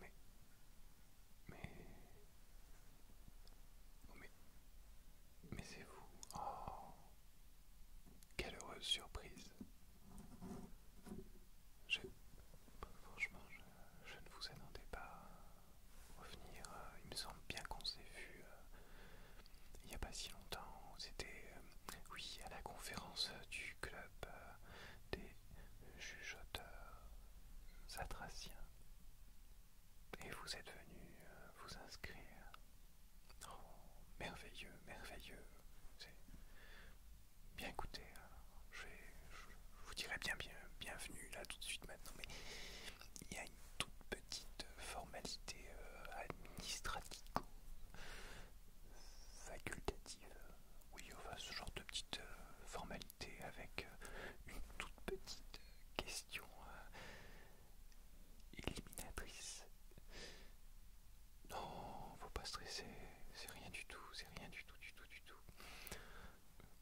Mais... Mais... Mais... Mais c'est vous. Oh Quelle heureuse surprise. Franchement, je, ne vous attendais pas à revenir. Euh, il me semble bien qu'on s'est vu euh, il n'y a pas si longtemps. C'était, étiez euh, oui, à la conférence du club des jugeoteurs satraciens. Et vous êtes venu vous inscrire. Oh, merveilleux, merveilleux. Bien écoutez, euh, je, vous dirais bien, bien bienvenue là tout de suite maintenant, mais il y a une toute petite euh, formalité euh, administrative, facultative Oui, enfin ce genre de petite formalité avec une toute petite question éliminatrice. Non, faut pas stresser, c'est rien du tout, c'est rien du tout, du tout, du tout.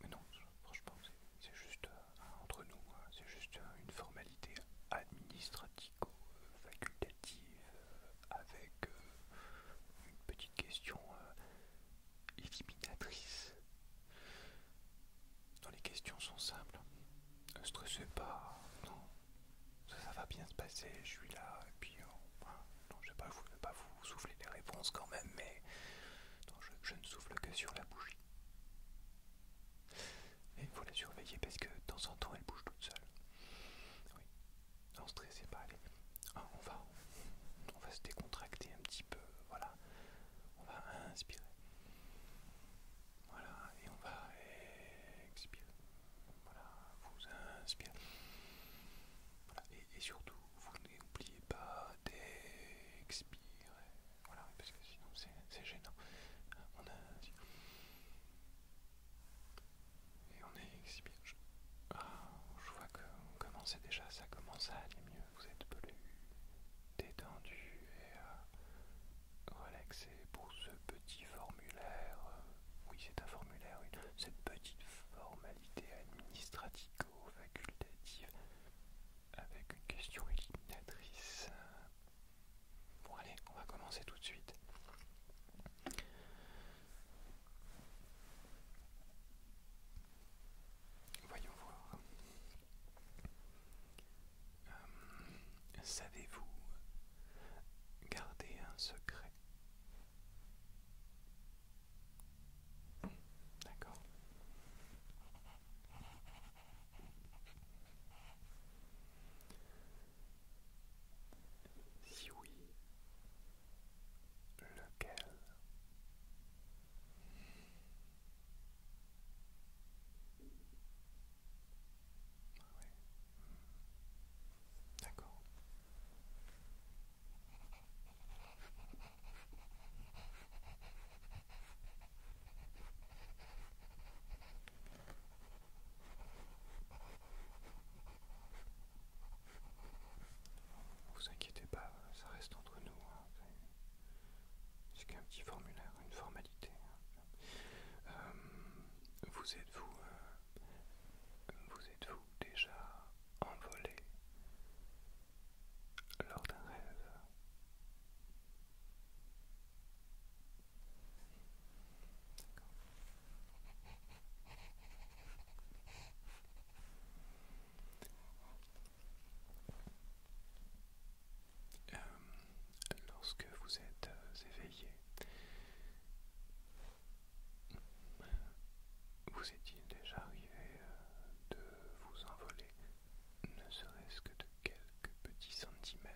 Mais non, franchement, c'est juste euh, entre nous, hein, c'est juste euh, une formalité administrativo facultative euh, avec une petite question éliminatrice. Non, les questions sont simples. Ne stressez pas, non, ça, va bien se passer, je suis là, et puis euh, je ne vais, pas vous souffler les réponses quand même, mais je, ne souffle que sur la bougie. Et il faut la surveiller parce que de temps en temps elle bouge toute seule. Oui, non, stressez pas, allez. Ah, on, va, on va se décontracter un petit peu, voilà. On va inspirer. Voilà, et on va expirer voilà, vous inspirez, et, surtout, vous n'oubliez pas d'expirer. Voilà, parce que sinon c'est gênant. On inspire. Et on expire. Ah, je vois que vous commencez déjà, ça commence à aller mieux. Vous êtes plus détendu et euh, relaxé pour ce petit formulaire, oui c'est un formulaire, cette petite formalité administrativo facultative avec une question éliminatrice. Bon allez, on va commencer tout de suite. Voyons voir. Euh, savez-vous garder un secret D'accord. Si oui, lequel ah hmm. D'accord. Vous inquiétez pas, ça reste entre nous. Hein. C'est qu'un petit formulaire, une formalité. Hein. Euh, vous êtes vous euh, vous êtes-vous déjà envolé lors d'un rêve euh, Lorsque vous êtes euh, éveillé, vous est-il déjà arrivé euh, de vous envoler, ne serait-ce que de quelques petits centimètres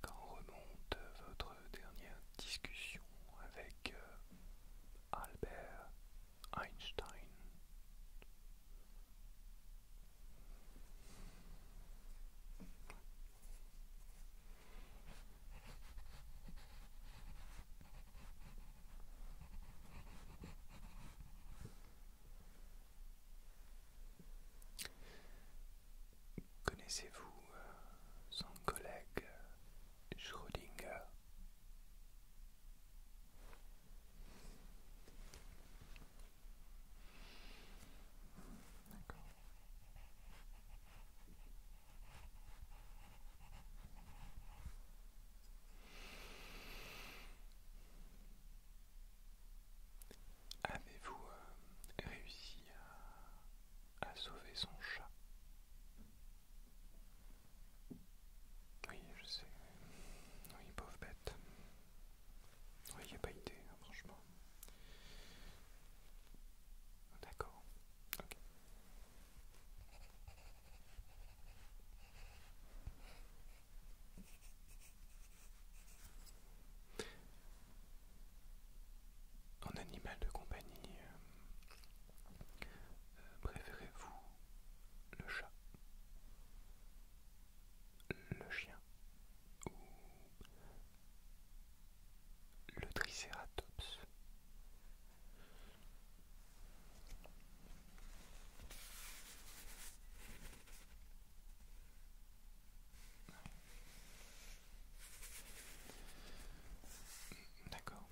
quand remonte votre dernière discussion avec euh, Albert Einstein Connaissez-vous euh, son collègue euh, Schrödinger Avez-vous euh, réussi à, sauver son chat Oui, je sais. Oui, pauvre bête. Oui, il n'y a pas idée, hein, franchement. D'accord. En animal de compagnie, euh, euh, préférez-vous le chat, le chien ou le tricératops D'accord.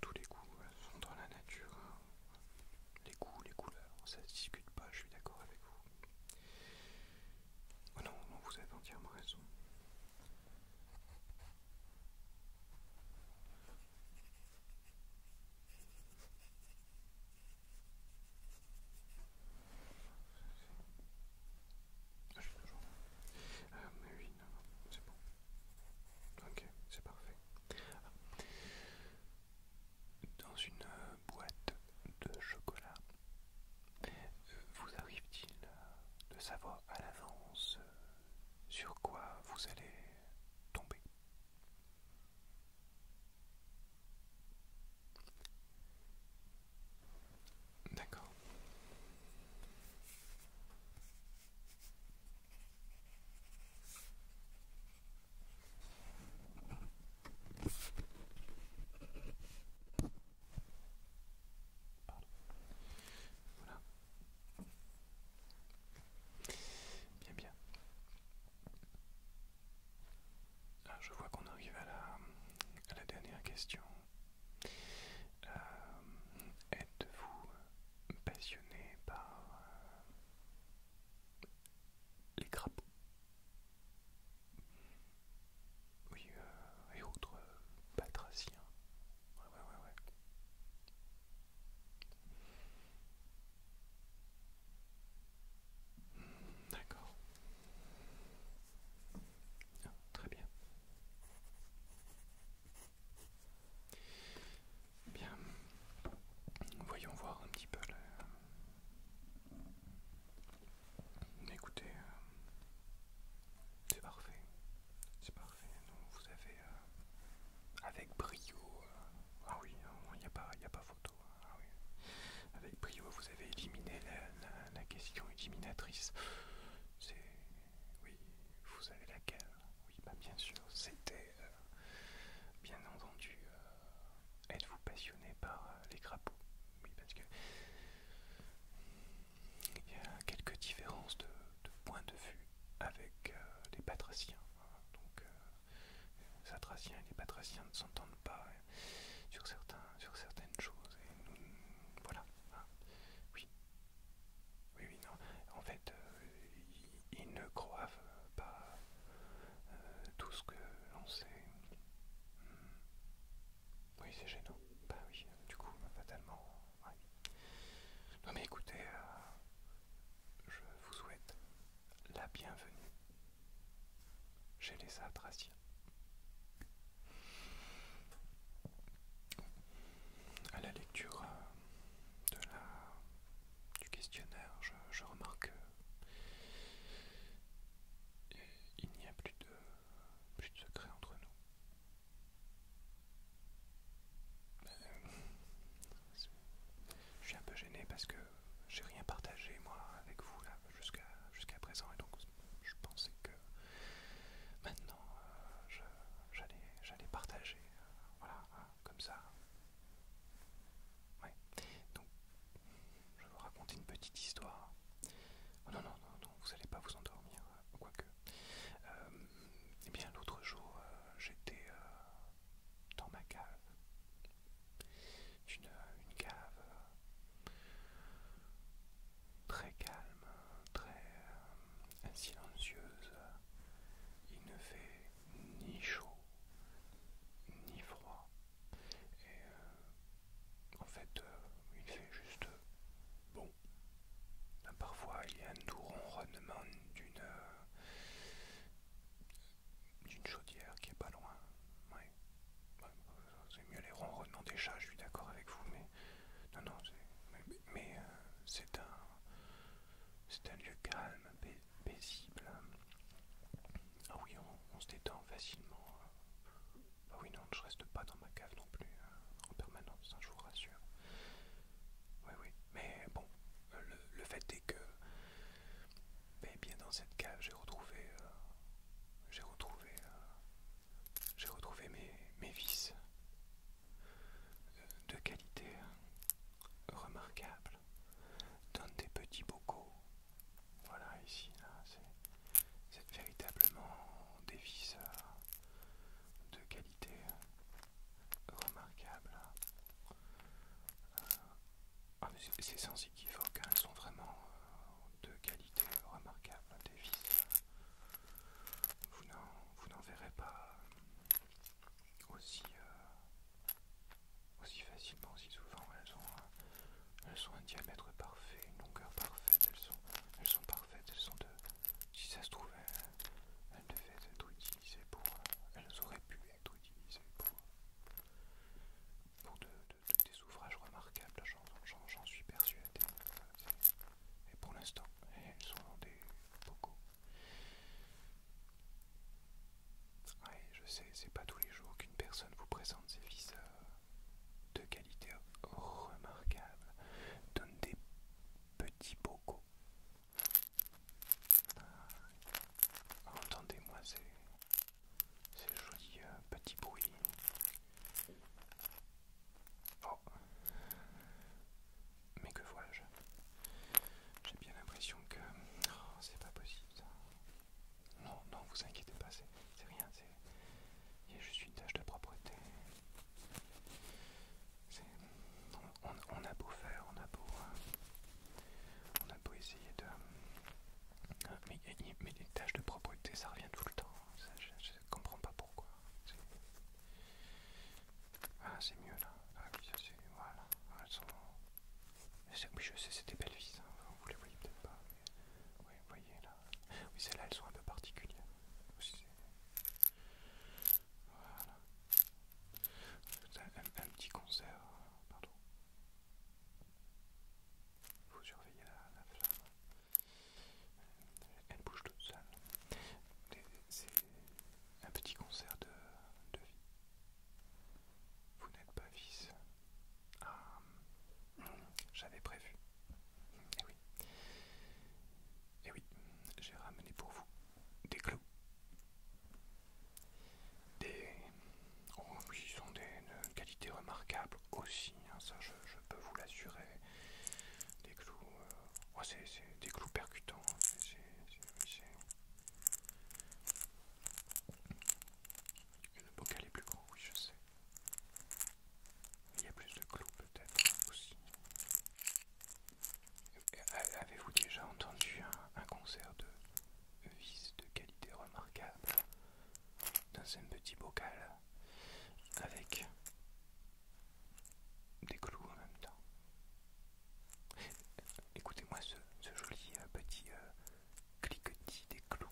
Tous les goûts euh, sont dans la nature. Les goûts, les couleurs, ça ne se discute pas, je suis d'accord avec vous. Oh non, non, vous avez entièrement raison. Ah, c'est bon. c'est parfait. Dans une boîte de chocolat, vous arrive-t-il de savoir à l'avance euh, sur quoi vous allez tomber D'accord. Voilà. Bien, bien. Ah, je vois qu'on arrive à la, dernière question. Euh, êtes-vous passionné par euh, les crapauds Oui, euh, et autres patraciens. Ouais, ouais, ouais, ouais. D'accord. Ah, très bien. Bien. Voyons voir un petit peu le... Écoutez, euh, c'est parfait. C'est parfait. vous avez euh, avec brio. Euh, ah oui, hein, il n'y a, a pas photo. Ah oui. Avec Prio vous avez éliminé la, question éliminatrice. Oui, vous avez laquelle Oui, bah, bien sûr, c'était. Euh, bien entendu, euh, êtes-vous passionné par euh, les crapauds Oui, parce que. Il y a quelques différences de, point de vue avec les patraciens. Hein, Satraciens et les Patraciens ne s'entendent pas euh, sur, certains, sur certaines choses. voilà. Hein. Oui. Oui, oui, non. En fait, euh, ils ne croient pas euh, tout ce que l'on sait. Hmm. Oui, c'est gênant. Bah oui, du coup, bah, fatalement. Non mais écoutez, je vous souhaite la bienvenue j'ai les Satraciens. À la lecture euh, du questionnaire, je, remarque qu'il n'y a plus de, plus de secret entre nous. Euh, je suis un peu gêné parce que j'ai rien partagé moi avec vous là jusqu'à jusqu'à présent et donc je pensais que maintenant euh, j'allais j'allais partager euh, voilà euh, comme ça ouais donc je vais vous raconter une petite histoire oh, non non non vous n'allez pas vous endormir quoique eh bien l'autre jour j'étais dans ma cave c'est euh, une cave euh, très calme, très euh, silencieuse. Il ne fait ni chaud ni froid. Et en fait, il fait juste bon. Parfois, il y a un doux ronronnement d'une d'une chaudière qui est pas loin. Ouais. c'est mieux les ronronnements des chats, je suis d'accord avec vous, mais non, non, mais, euh, c'est un, c'est un lieu calme, paisible. Ah oui, on, se détend facilement. Ah oui, non, je reste pas dans ma cave non plus hein. en permanence, hein, je vous rassure. Oui, oui, mais bon, le fait est que et bien dans cette cave, j'ai retrouvé, euh, j'ai retrouvé, euh, j'ai retrouvé mes, mes vis euh, de qualité remarquable dans des petits bocaux. Voilà ici, c'est véritablement des vis de qualité remarquable. Ah, c'est sans équivoque, hein. elles sont vraiment euh, de qualité remarquable, hein, des vis. vous n'en verrez pas euh, euh, aussi, facilement, aussi souvent. Elles ont, elles un diamètre parfait, une longueur parfaite, elles sont, parfaites, elles sont de... Si ça se trouvait, elles, elles devaient être utilisées pour... Elles auraient pu être utilisé pour, euh, des ouvrages remarquables, j'en suis persuadé. Et pour l'instant, elles sont des bocaux. je sais, c'est pas tous les jours qu'une personne vous présente ses vis euh, de qualité remarquable. Donne des petits bocaux. Ah, entendez-moi, c'est c'est le joli euh, petit bruit. Oh Mais que vois-je J'ai bien l'impression que... Oh, c'est pas possible ça. Non, non, vous inquiétez pas, c'est rien, c'est... Il y a juste une tâche de propreté. On, a beau faire, on a beau... Euh, on a beau essayer de... Mais, les tâches de propreté, ça revient tout le temps. je, comprends pas pourquoi. Ah, c'est mieux là. Ah oui, ça c'est. Voilà. Ah, elles sont... Ah, oui, je sais, c'est des belles vis. Hein. Vous les voyez peut-être pas. Mais... Oui, vous voyez là. Oui, celles-là, elles sont un peu particulières. voilà. Un, un petit concert. Pardon. Vous surveillez la, flamme. Elle bouge toute seule. C'est un petit concert de, de vie. Vous n'êtes pas vice. Ah, j'avais prévu. Et eh oui. Et eh oui, j'ai ramené pour vous des clous. Des... ils ont des euh, qualités remarquables aussi, hein, ça je, peux vous l'assurer. Des clous... Euh, c'est des clous percutants. Hein, c'est Le bocal est plus gros, oui je sais. Il y a plus de clous peut-être aussi. Avez-vous déjà entendu un concert de vis de qualité remarquable dans un petit bocal avec des clous en même temps. Écoutez-moi ce, joli euh, petit euh, cliquetis des clous.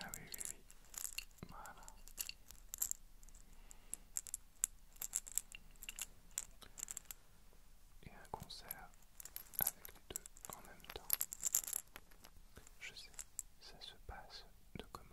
Ah oui, oui, oui. Voilà. Et un concert avec les deux en même temps. Je sais, ça se passe de comment.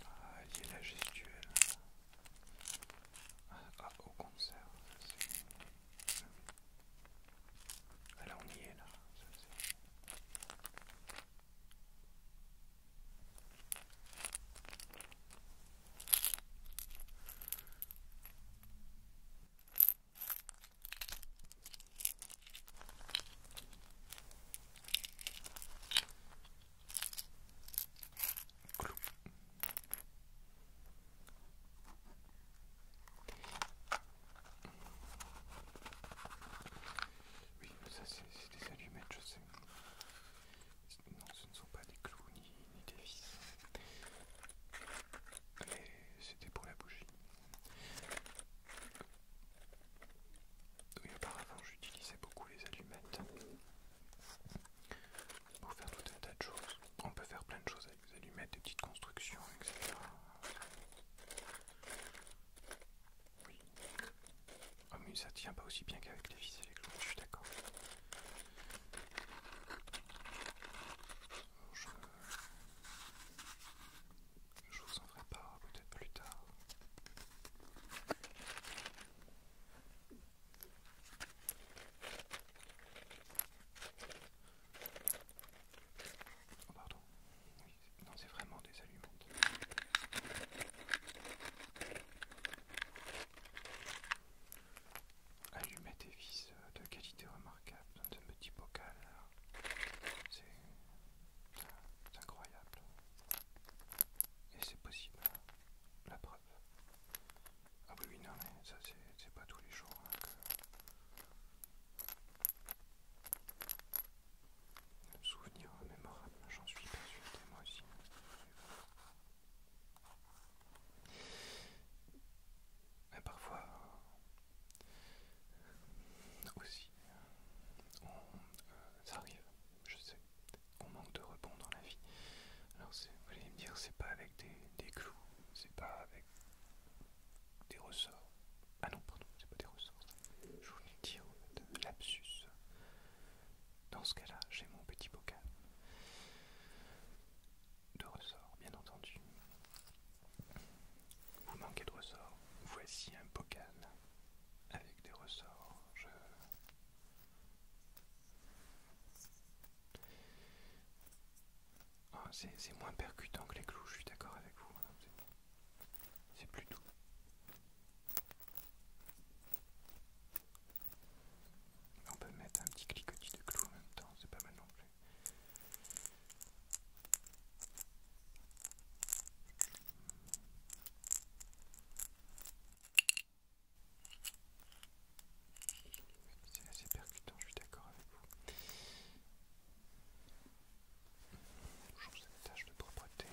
Ah, il la gestuelle. Ah, au concert, c'est... Alors ah, on y est, là. Ça, Clou. Oui, ça c'est des allumettes, je sais. Non, ce ne sont pas des clous ni, des vis. c'était pour la bougie. Oui, auparavant, j'utilisais beaucoup les allumettes pour faire tout un tas de choses. On peut faire plein de choses vous allez mettre des petites constructions, etc. Oui. oh, mais ça tient pas aussi bien qu'avec les vis électroniques, je suis d'accord. Je... vous en ferai peut-être plus tard. Oh pardon. non, c'est vraiment des allumettes. Allumettes et vis euh, de qualité remarquable dans un petit bocal. C'est incroyable. Et c'est possible. Hein, la preuve. Ah oui, non, mais ça, c'est pas tous les jours hein, Souvenir mémorable, j'en suis persuadé moi aussi. Mais parfois aussi, on, euh, ça arrive, je sais, on manque de rebond dans la vie. Alors vous allez me dire, c'est pas avec des, des clous, c'est pas avec des ressorts. Ah non, pardon, c'est pas des ressorts. Je voulais dire au fait, lapsus. Dans ce cas-là, j'ai mon petit bocal de ressorts, bien entendu. Vous manquez de ressorts. Voici un bocal avec des ressorts. Ah, c'est moins percutant que les clous, je suis d'accord avec vous. C'est plus doux. On peut mettre un petit cliquetis de clous en même temps, c'est pas mal non plus. C'est assez percutant, je suis d'accord avec vous. Toujours cette tâche de propreté.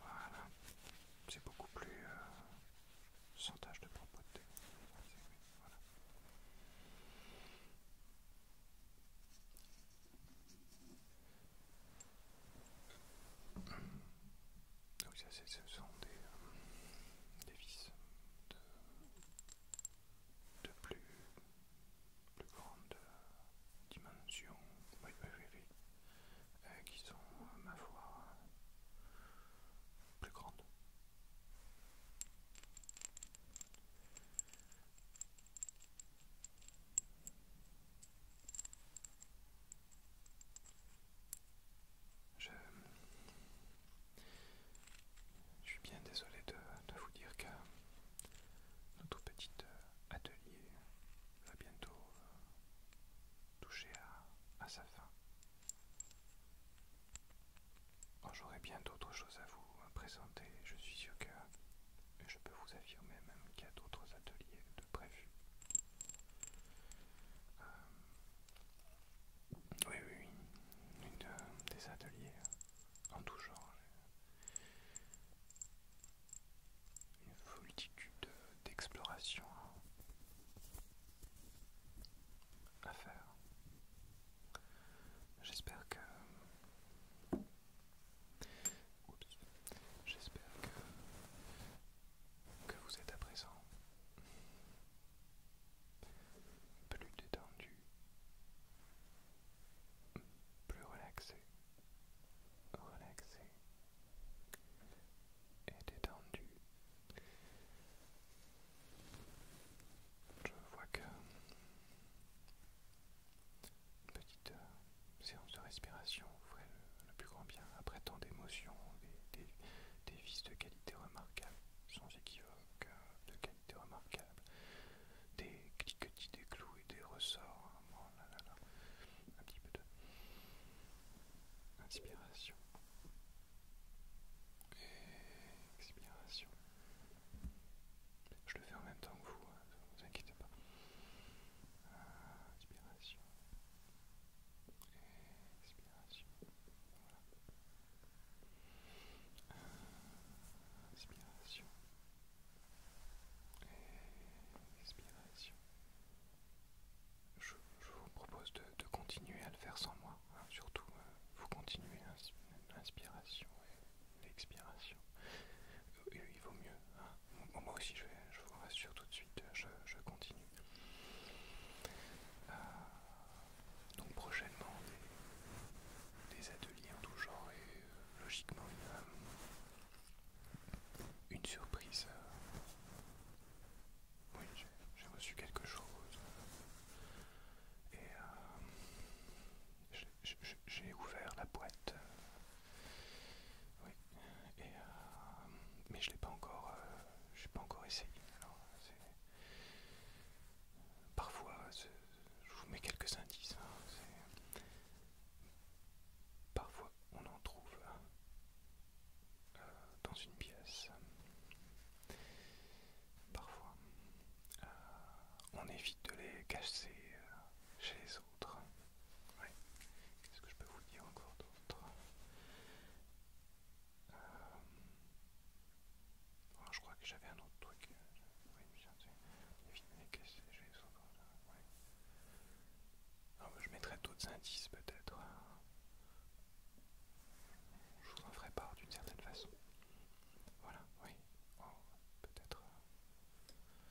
Voilà, c'est beaucoup plus euh, sans tâche de propreté. Voilà. Donc ah ça, ce sont des, euh, vis de, plus, plus grande dimension, euh, qui sont, ma foi, plus grandes. Je, suis bien désolé de, vous dire que notre petit euh, atelier va bientôt euh, toucher à, sa fin. J'aurai bien d'autres choses à vous euh, présenter. Je suis sûr que je peux vous affirmer même qu'il y a d'autres ateliers de prévu. Euh, oui, oui, oui. Euh, des ateliers euh, en tout genre. Une multitude d'explorations à faire. J'espère que J'espère que, vous êtes à présent plus détendu, plus relaxé, relaxé et détendu. Je vois que petite euh, séance de respiration vous le, plus grand bien. Après tant d'émotions, des, vis de qualité remarquable, sans équivoque, hein, de qualité remarquable, des cliquetis, des clous et des ressorts. Hein, Un petit peu de inspiration et expiration. Je le fais en même temps que vous, hein, ne vous inquiétez pas. Inspiration expiration. Voilà. Inspiration. Expiration. Je, vous propose de, continuer à le faire sans moi. Hein, surtout, euh, vous continuez l'inspiration et l'expiration. Il vaut mieux. Ah, moi aussi, je, je vous rassure tout de suite, je, continue. Euh, donc prochainement, des, ateliers en tout genre et euh, logiquement une, euh, surprise. oui, j'ai reçu quelque chose. Et j'ai ouvert la boîte. Oui, euh, mais je l'ai pas encore, euh, pas encore essayé. Parfois, je vous mets quelques indices. Hein, parfois, on en trouve euh, dans une pièce. Parfois, on évite de les casser chez les autres. Oui. Qu'est-ce que je peux vous dire encore d'autre euh, oh, Je crois que j'avais un autre truc. je mettrais d'autres indices peut-être. Je vous en ferai part d'une certaine façon. Voilà, oui. Oh, peut-être. Euh,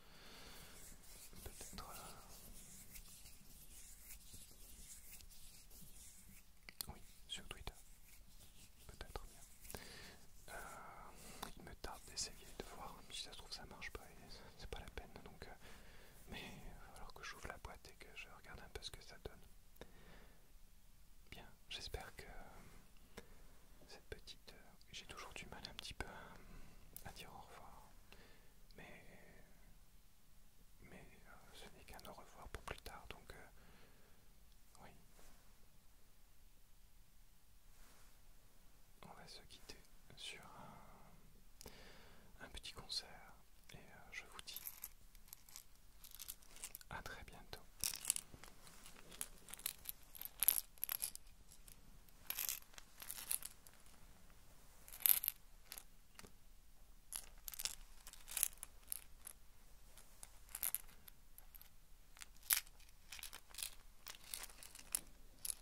Peut-être. Euh, oui, sur Twitter. Peut-être bien. Euh, il me tarde d'essayer de voir. Si ça se trouve, ça marche pas et c'est pas la peine. Donc, euh, Mais il va falloir que j'ouvre la boîte et que je regarde un peu ce que ça donne. Bien, j'espère que cette petite. J'ai toujours du mal un petit peu à dire au revoir mais, mais euh, ce n'est qu'un au revoir pour plus tard, donc euh, oui. On va se quitter sur un, petit concert et euh, je vous dis à très bientôt.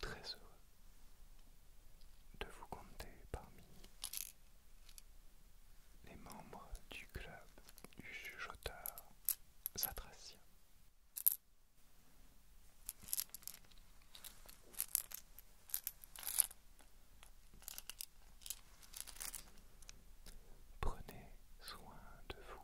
Très heureux de vous compter parmi les membres du club du chuchoteur Satracien. Prenez soin de vous.